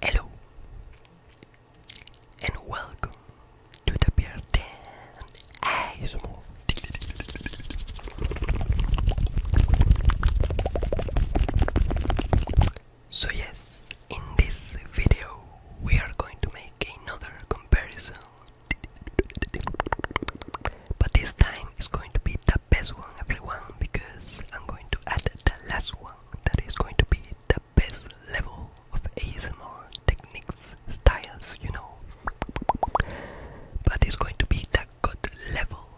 Hello and welcome to the Beer Den ASMR. So yes, in this video we are going to make another comparison. But this time it's going to be the best one everyone because I'm going to add the last one that is going to be the best level of ASMR techniques, styles, you know. But it's going to be the good level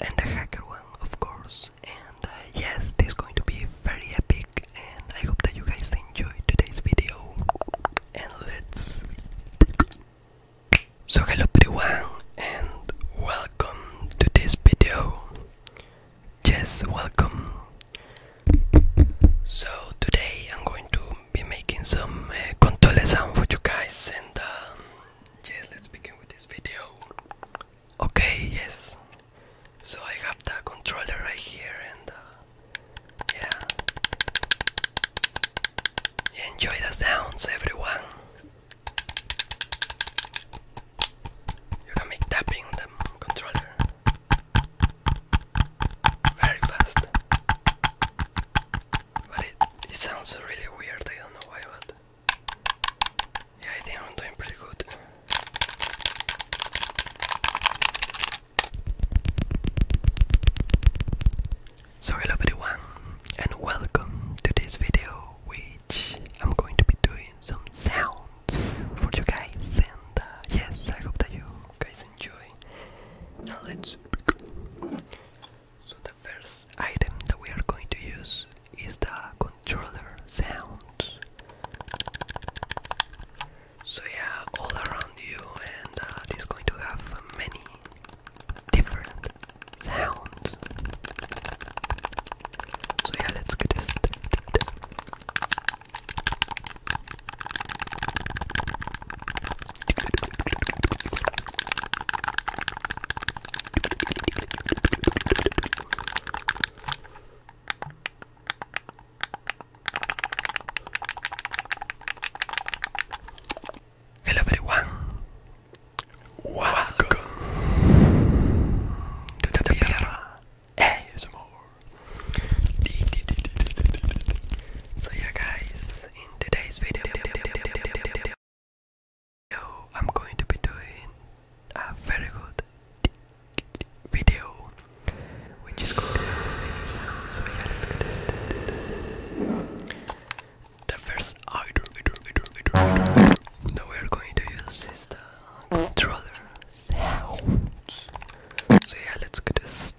and the hacker one of course and uh, yes this is going to be very epic and I hope that you guys enjoy today's video and let's so hello everyone and welcome to this video Just welcome so today I'm going to be making some uh, control sound for you guys and um, let's begin with this video Okay, yes. So I have the controller right here, and uh, yeah, enjoy the sounds, everyone. You can make tapping on the controller very fast, but it, it sounds really weird. I don't know why, yeah, I think I'm doing pretty good. So hello everyone and welcome to this video which I'm going to be doing some sounds for you guys and uh, yes I hope that you guys enjoy. Now let's begin. So the first item that we are going to use is the controller sounds. So yeah, all around you, and uh, it is going to have many different sounds. So yeah, let's get this. Hello everyone. Welcome to the Pierre ASMR. So yeah guys, in today's video video I'm going to be doing a very good video which is going to be so yeah let's get started the first item, item, item, item, item that we are going to use is the controller sounds so yeah let's get started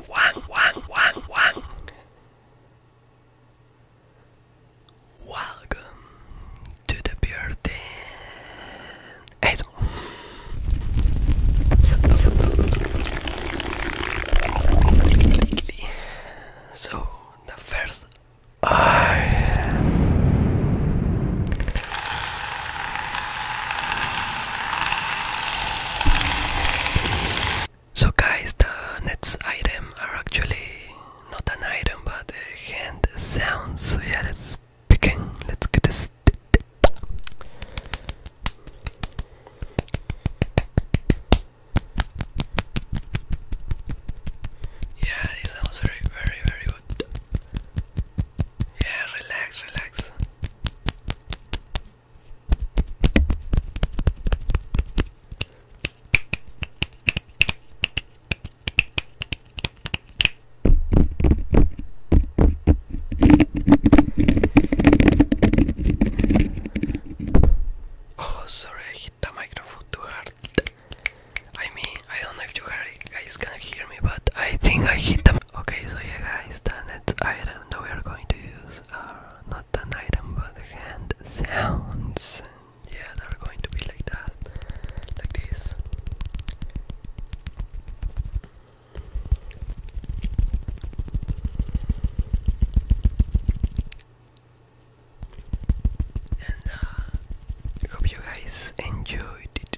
be Welcome to the bearded ASMR. So the first so guys, the next item are actually not an item but a hand sound. So yeah, let's begin. Let's get this. Yeah, it sounds very, very, very good. Yeah, relax, relax. Oh, sorry, I hit the microphone too hard. I mean, I don't know if you guys can hear me, but I think I hit the Okay, so yeah guys, the next item that we are going to use are uh, not an item but the hand sounds. yeah, they're going to be like that, like this. And uh, I hope you guys enjoyed it.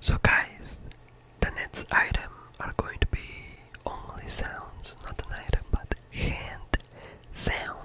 So guys, the next item are going to be only sounds, not an item, but hand sounds.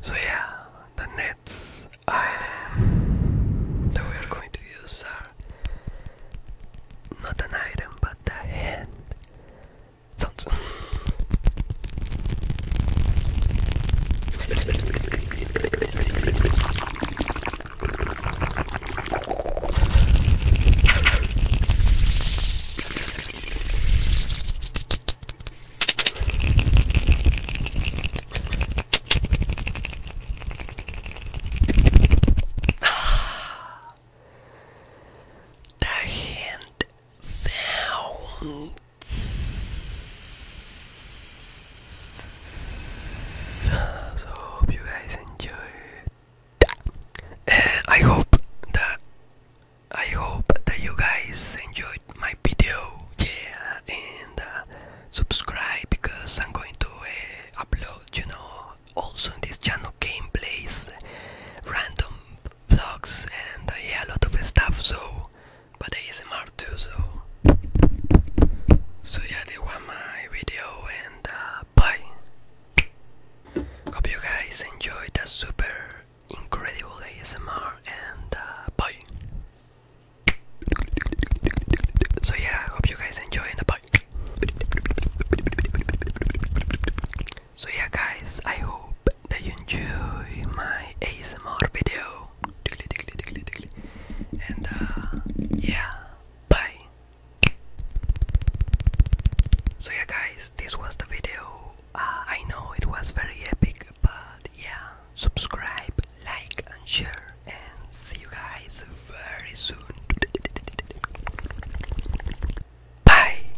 So yeah, the nets item that we are going to use are not an item but a hand. Don't. the hand sound so hope you guys enjoyed. Uh, I hope that I hope that you guys enjoyed my video. Yeah, and uh, subscribe because I'm going to uh, upload, you know, also in this channel gameplays, random vlogs, and yeah, a lot of stuff. So but ASMR too, so so yeah, they want my video and uh, bye. Hope you guys enjoyed the super incredible ASMR and uh, bye. So yeah, hope you guys enjoyed the bye. So yeah, guys, I hope that you enjoy my ASMR video. And uh, yeah, bye. So yeah, guys, this was the video. Uh, I know it was very epic, but yeah, subscribe, like, and share, and see you guys very soon. Bye.